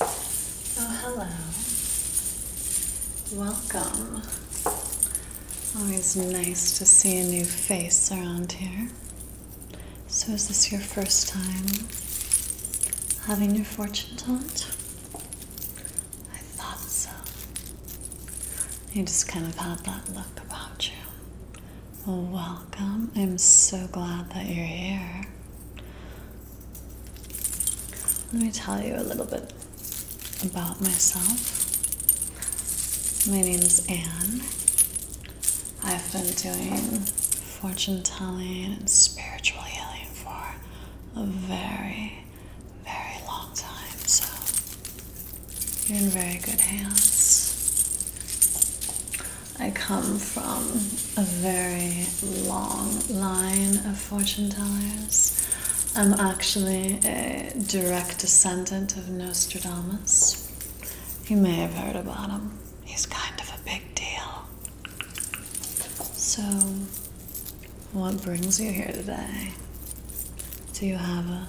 Oh, hello. Welcome. Always nice to see a new face around here. So, is this your first time having your fortune told? I thought so. You just kind of had that look about you. welcome. I'm so glad that you're here. Let me tell you a little bit about myself. My name is Anne. I've been doing fortune telling and spiritual healing for a very, very long time, so you're in very good hands. I come from a very long line of fortune tellers. I'm actually a direct descendant of Nostradamus. You may have heard about him. He's kind of a big deal. So, what brings you here today? Do you have a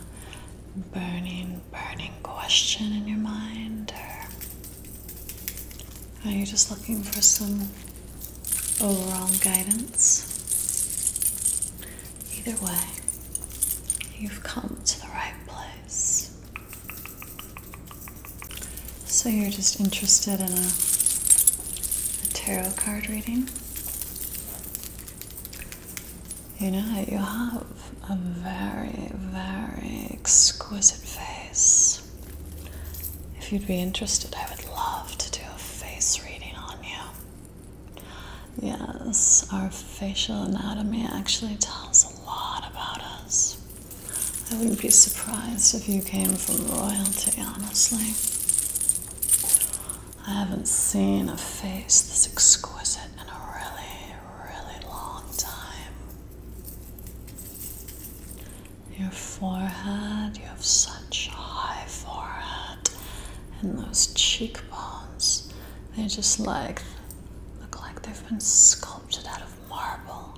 burning, burning question in your mind? Or are you just looking for some overall guidance? Either way, you've come to the right place. So you're just interested in a, tarot card reading? You know, you have a very, very exquisite face. If you'd be interested, I would love to do a face reading on you. Yes, our facial anatomy actually tells a lot about us. I wouldn't be surprised if you came from royalty, honestly. I haven't seen a face this exquisite in a really, really long time your forehead. You have such a high forehead, and those cheekbones. They just like look like they've been sculpted out of marble.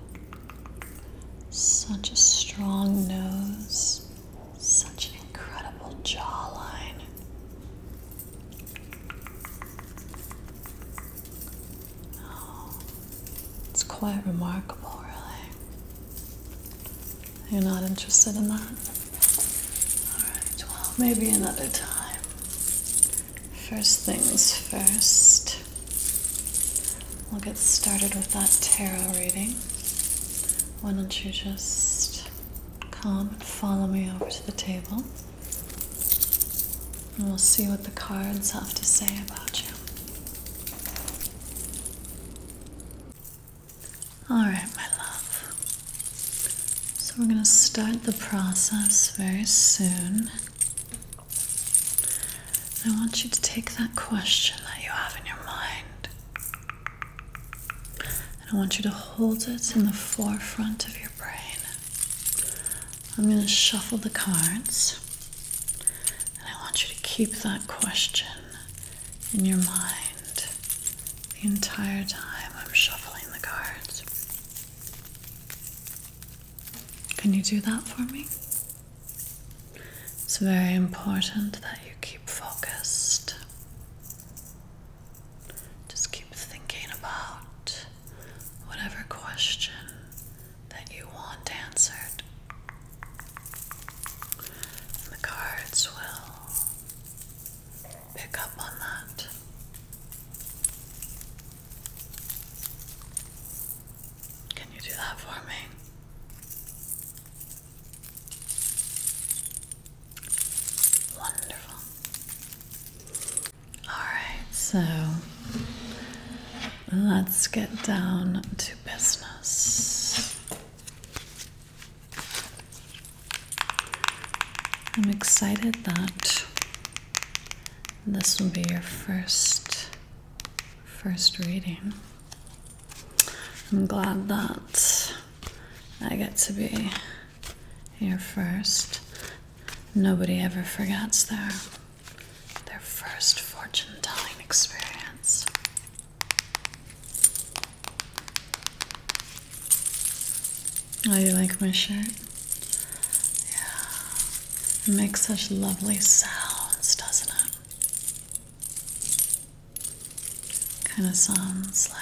Such a strong nose, such an incredible jawline. Oh, it's quite remarkable, really. You're not interested in that? Alright, well, maybe another time. First things first, we'll get started with that tarot reading. Why don't you just come and follow me over to the table? And we'll see what the cards have to say about you. Alright, my love. So we're going to start the process very soon. I want you to take that question that you have in your mind. And I want you to hold it in the forefront of your brain. I'm going to shuffle the cards, and I want you to keep that question in your mind the entire time I'm shuffling the cards. Can you do that for me? It's very important that you keep focused. Just keep thinking about whatever question that you want answered. And the cards will pick up on that. Can you do that for me? Wonderful. Alright, so let's get down to business. I'm excited that this will be your first first reading. I'm glad that I get to be here first. Nobody ever forgets there their first fortune telling experience. Oh, you like my shirt? Yeah. It makes such lovely sounds, doesn't it? Kind of sounds like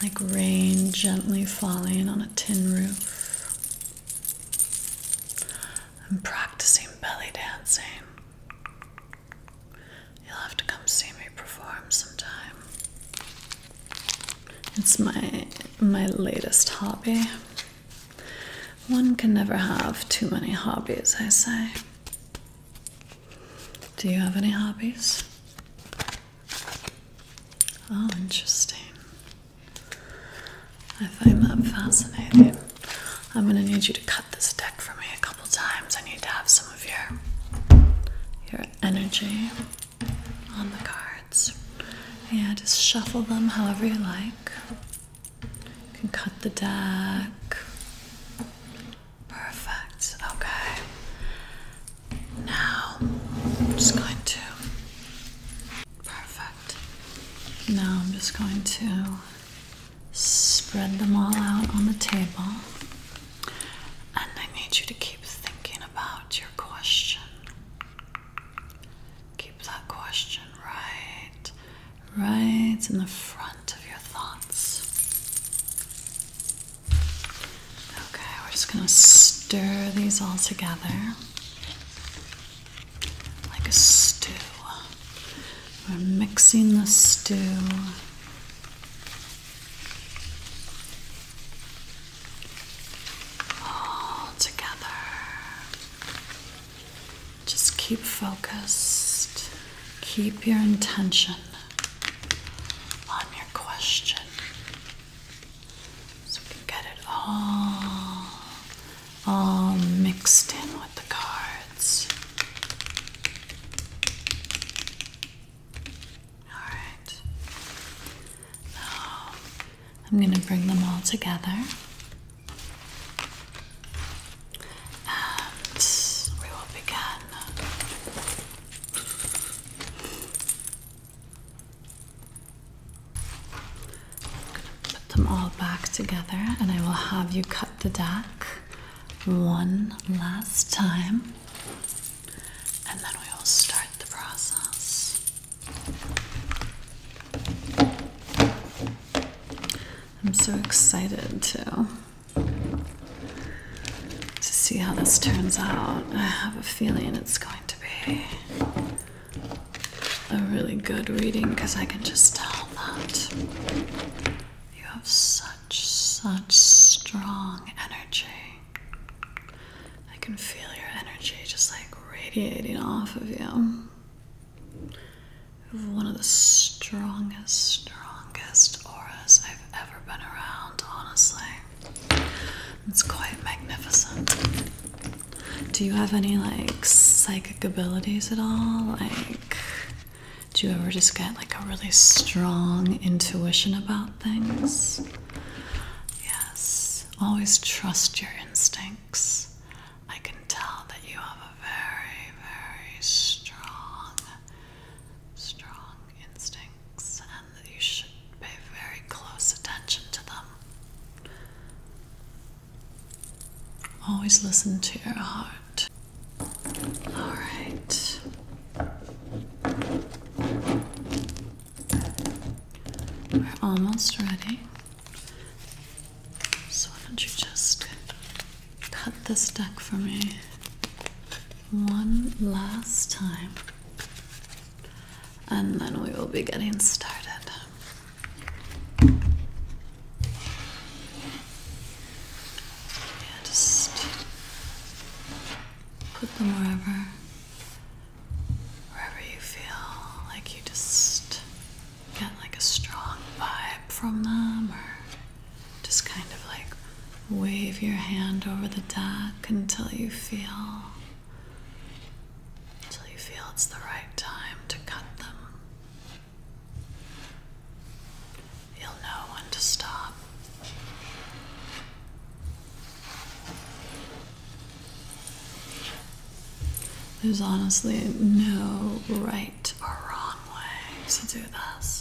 like rain gently falling on a tin roof. I'm practicing belly dancing. You'll have to come see me perform sometime. It's my my latest hobby. One can never have too many hobbies, I say. Do you have any hobbies? Oh, interesting. I find that fascinating. I'm going to need you to cut this deck for me a couple times. I need to have some of your your energy on the cards. Yeah, just shuffle them however you like. You can cut the deck. Perfect. Okay. Now I'm just going to Perfect. Now I'm just going to spread them all out on the table. And I need you to keep thinking about your question. Keep that question right, right in the front of your thoughts. Okay, we're just going to stir these all together like a stew. We're mixing the stew. All together. Just keep focused. Keep your intention on your question. So we can get it all, all mixed in with the cards. Alright. Now I'm going to bring them all together. And we will begin. I'm gonna put them all back together and I will have you cut the deck one last time and then we will start the process. I'm so excited to to see how this turns out. I have a feeling it's going to be a really good reading because I can just tell that you have such, such strong energy. I can feel your energy just like radiating off of you. One of the strongest, strongest auras I've ever been around, honestly. It's quite magnificent. Do you have any like psychic abilities at all? Like, do you ever just get like a really strong intuition about things? Yes. Always trust your instincts. I can tell that you have a very, very strong, strong instincts and you should pay very close attention to them. Always listen to your heart. All right. We're almost ready. So, why don't you just cut this deck for me one last time? and then we will be getting started. just put them wherever, wherever you feel like you just get like a strong vibe from them, or just kind of like wave your hand over the deck until you feel till you feel it's the right time to cut them. You'll know when to stop. There's honestly no right or wrong way to do this.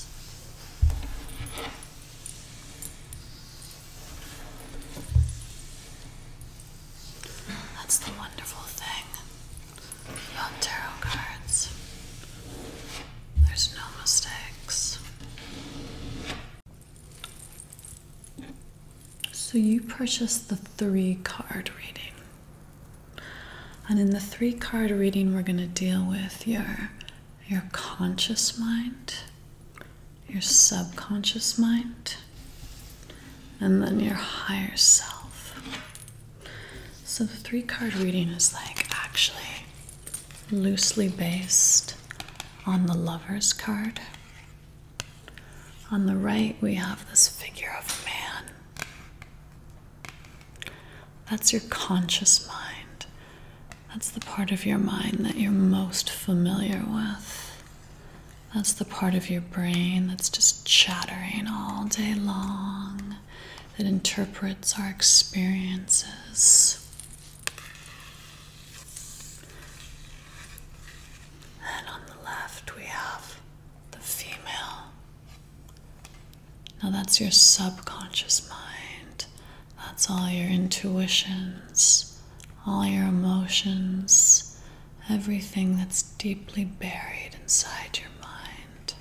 That's the wonderful thing about tarot cards. There's no mistakes. So you purchased the three card reading. And in the three card reading we're going to deal with your your conscious mind, your subconscious mind, and then your higher self. So the three card reading is like actually loosely based on the Lover's card. On the right, we have this figure of a man. That's your conscious mind. That's the part of your mind that you're most familiar with. That's the part of your brain that's just chattering all day long, that interprets our experiences. And on the left, we have the female. Now, that's your subconscious mind, that's all your intuitions, all your emotions, everything that's deeply buried inside your mind.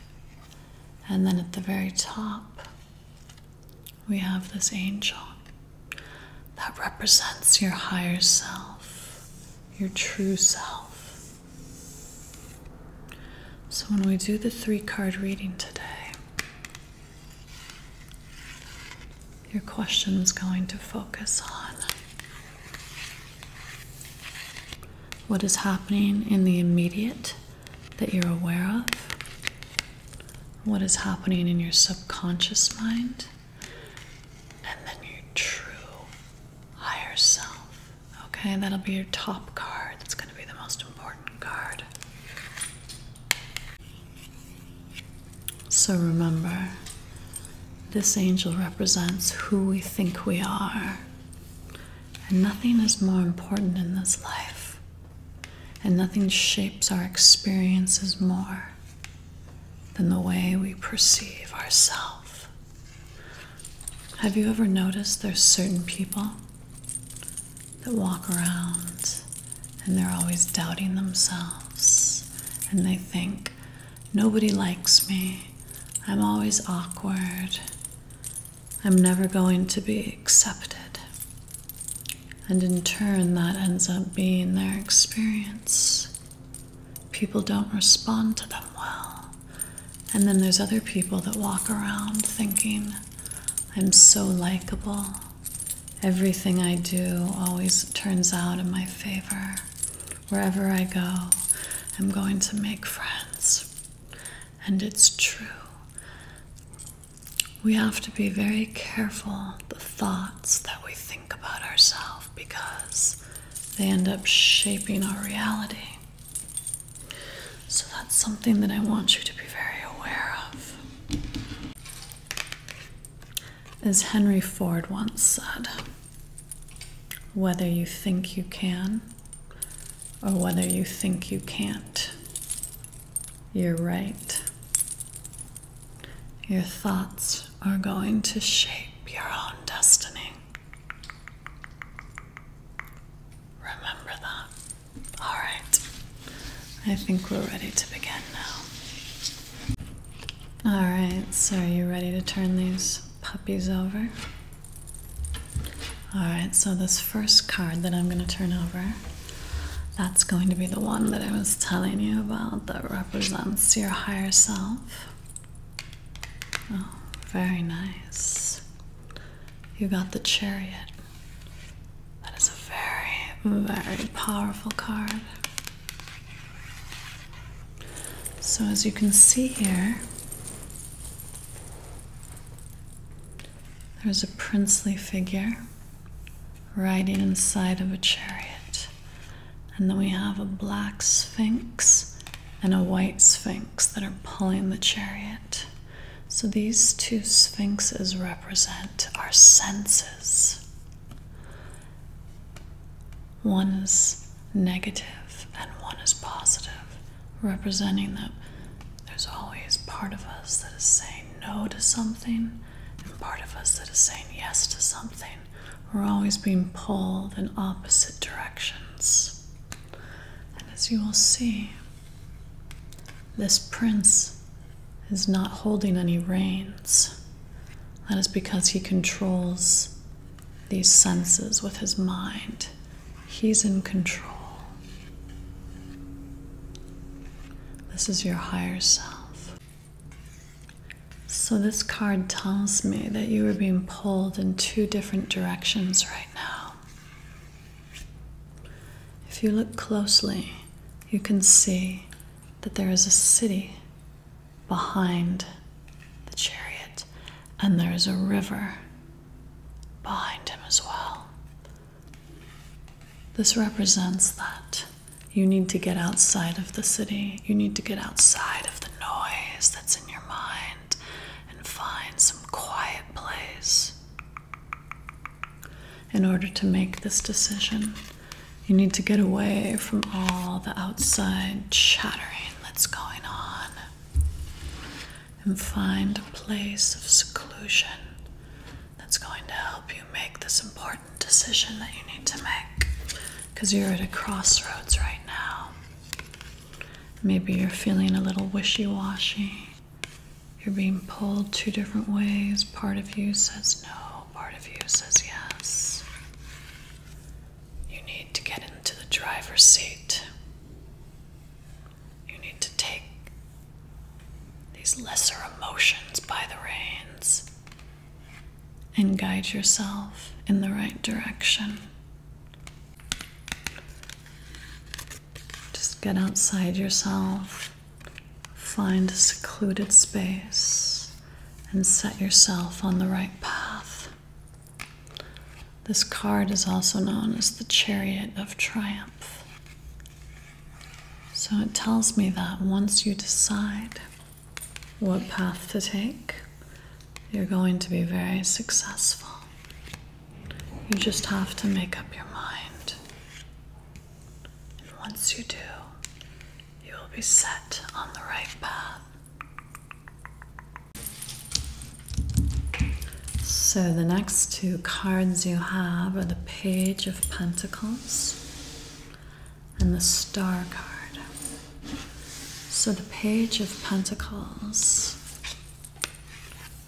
And then at the very top, we have this angel that represents your higher self, your true self. So, when we do the three card reading today, your question is going to focus on what is happening in the immediate that you're aware of, what is happening in your subconscious mind, and then your true higher self. Okay, that'll be your top card. That's going to be the most important card. So remember, this angel represents who we think we are. And nothing is more important in this life. And nothing shapes our experiences more than the way we perceive ourselves. Have you ever noticed there's certain people that walk around and they're always doubting themselves and they think, nobody likes me, I'm always awkward, I'm never going to be accepted. And in turn, that ends up being their experience. People don't respond to them well. And then there's other people that walk around thinking, I'm so likable. Everything I do always turns out in my favor. Wherever I go, I'm going to make friends. And it's true. We have to be very careful the thoughts that we think about ourselves because they end up shaping our reality. So that's something that I want you to be very aware of. As Henry Ford once said, whether you think you can or whether you think you can't, you're right. Your thoughts are going to shape your own destiny. Remember that. All right. I think we're ready to begin now. Alright, so are you ready to turn these puppies over? Alright, so this first card that I'm going to turn over, that's going to be the one that I was telling you about that represents your higher self. Oh, very nice. You got the chariot. That is a very, very powerful card. So, as you can see here, there's a princely figure riding inside of a chariot. And then we have a black sphinx and a white sphinx that are pulling the chariot. So these two sphinxes represent our senses. One is negative and one is positive, representing that there's always part of us that is saying no to something and part of us that is saying yes to something. We're always being pulled in opposite directions. And as you will see, this prince is not holding any reins. That is because he controls these senses with his mind. He's in control. This is your higher self. So, this card tells me that you are being pulled in two different directions right now. If you look closely, you can see that there is a city behind the chariot, and there is a river behind him as well. This represents that you need to get outside of the city, you need to get outside of the noise that's in your mind and find some quiet place in order to make this decision. You need to get away from all the outside chattering that's going on and find a place of seclusion that's going to help you make this important decision that you need to make because you're at a crossroads right now. Maybe you're feeling a little wishy washy. You're being pulled two different ways. Part of you says no, part of you says yes. You need to get into the driver's seat. You need to take these lesser emotions by the reins and guide yourself in the right direction. Just get outside yourself Find a secluded space and set yourself on the right path. This card is also known as the Chariot of Triumph. So it tells me that once you decide what path to take, you're going to be very successful. You just have to make up your mind. And once you do, you will be set on the right path. So, the next two cards you have are the Page of Pentacles and the Star card. So, the Page of Pentacles,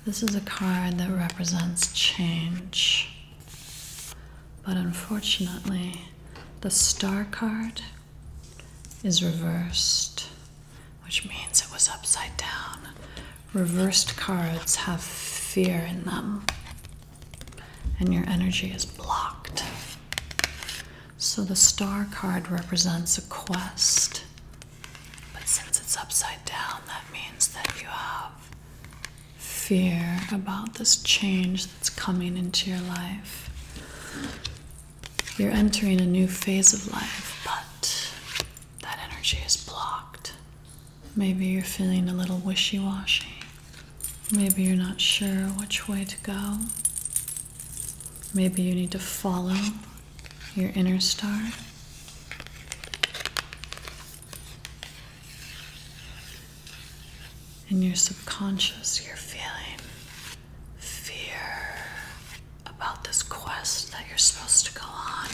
this is a card that represents change. But unfortunately, the star card is reversed, which means it was upside down. Reversed cards have fear in them, and your energy is blocked. So the star card represents a quest, but since it's upside down, that means that you have fear about this change that's coming into your life. You're entering a new phase of life, but that energy is blocked. Maybe you're feeling a little wishy washy. Maybe you're not sure which way to go. Maybe you need to follow your inner star. In your subconscious, you're feeling fear about this quest that you're supposed to go on,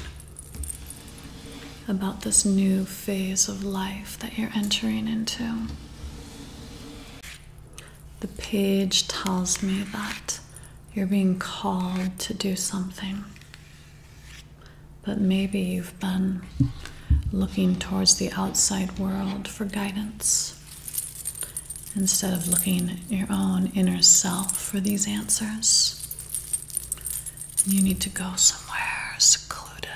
about this new phase of life that you're entering into. The page tells me that you're being called to do something but maybe you've been looking towards the outside world for guidance instead of looking at your own inner self for these answers. You need to go somewhere secluded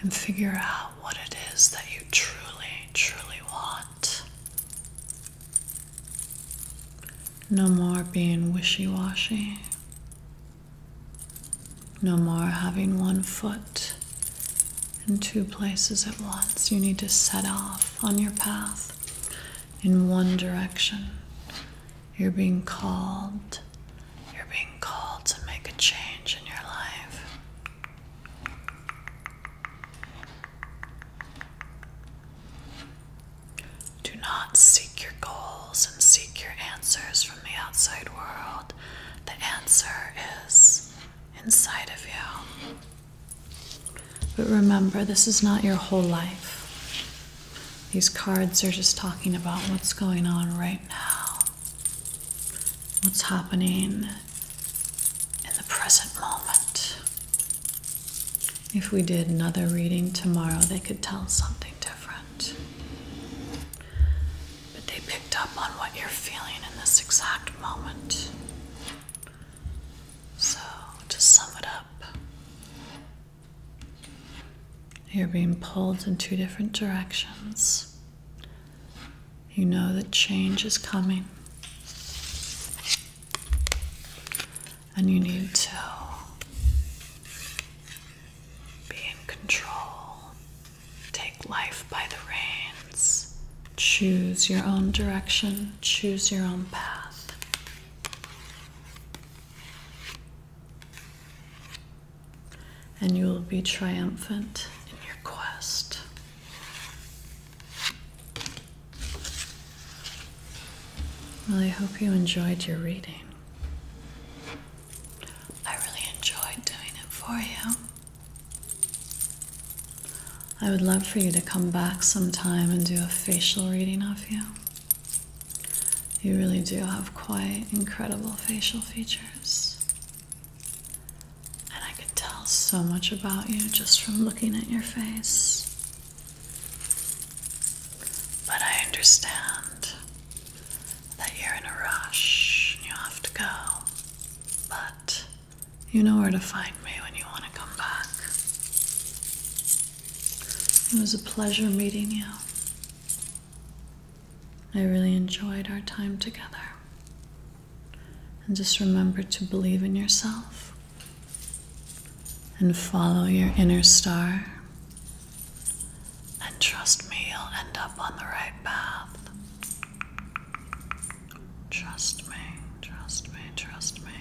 and figure out what it is that you truly, truly want. No more being wishy washy. No more having one foot in two places at once. You need to set off on your path in one direction. You're being called. You're being called to make a change in your life. Do not seek your goals and seek your answers from the outside world. The answer is inside of you. But remember, this is not your whole life. These cards are just talking about what's going on right now, what's happening in the present moment. If we did another reading tomorrow, they could tell something different. But they picked up on what you're feeling in this exact moment. So, to sum it up, you're being pulled in two different directions. You know that change is coming, and you need to be in control. Take life by the reins. Choose your own direction. Choose your own path. And you will be triumphant in your quest. Well, I hope you enjoyed your reading. I really enjoyed doing it for you. I would love for you to come back sometime and do a facial reading of you. You really do have quite incredible facial features. And I could tell so much about you just from looking at your face. But I understand that you're in a rush you have to go, but you know where to find me when you want to come back. It was a pleasure meeting you. I really enjoyed our time together. And just remember to believe in yourself and follow your inner star and trust me, you'll end up on the right path. Trust me, trust me, trust me.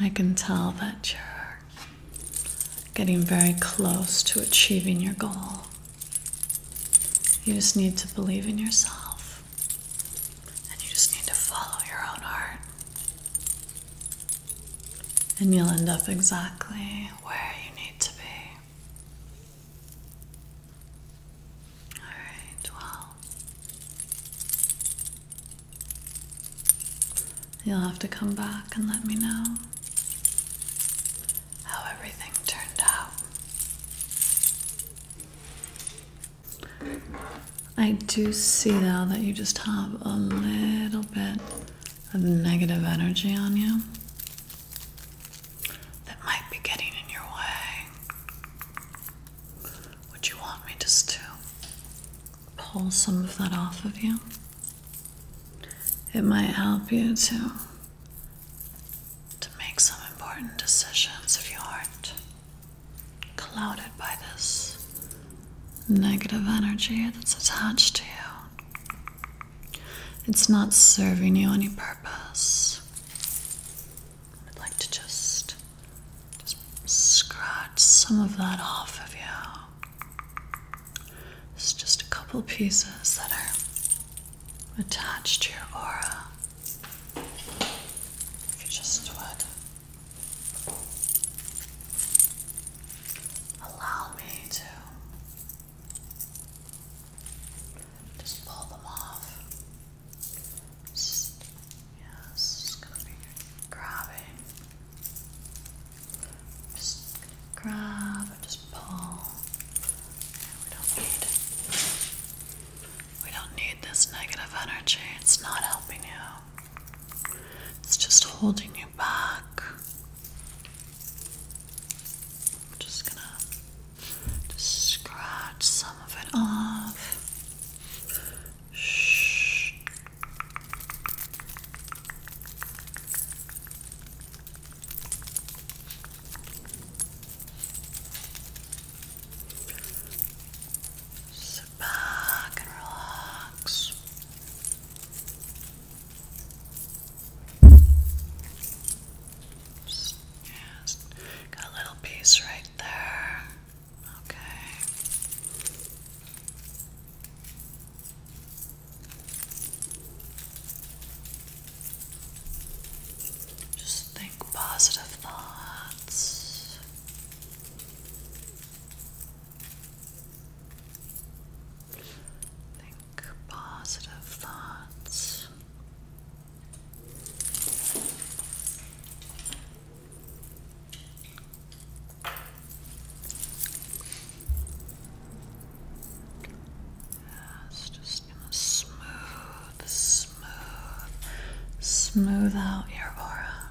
I can tell that you're getting very close to achieving your goal. You just need to believe in yourself and you just need to follow your own heart and you'll end up exactly where you need to be. All right, well, you'll have to come back and let me know how everything turned out. I do see now that you just have a little bit of negative energy on you that might be getting in your way. Would you want me just to pull some of that off of you? It might help you to to make some important decisions if you aren't clouded by this negative energy that's attached to you. It's not serving you any purpose. I'd like to just just scratch some of that off of you. It's just a couple pieces that are attached to your aura. If you just would Allow me to just pull them off. Just, yeah, gonna be grabbing. Just grab and just pull. we don't need we don't need this negative energy. It's not helping you. It's just holding you back. I'm just gonna just scratch some of it off. Shh back and relax. Just, Got a little piece right there. Okay. Just think positive thoughts. Think positive thoughts. Yes, just gonna smooth, smooth, smooth out your aura.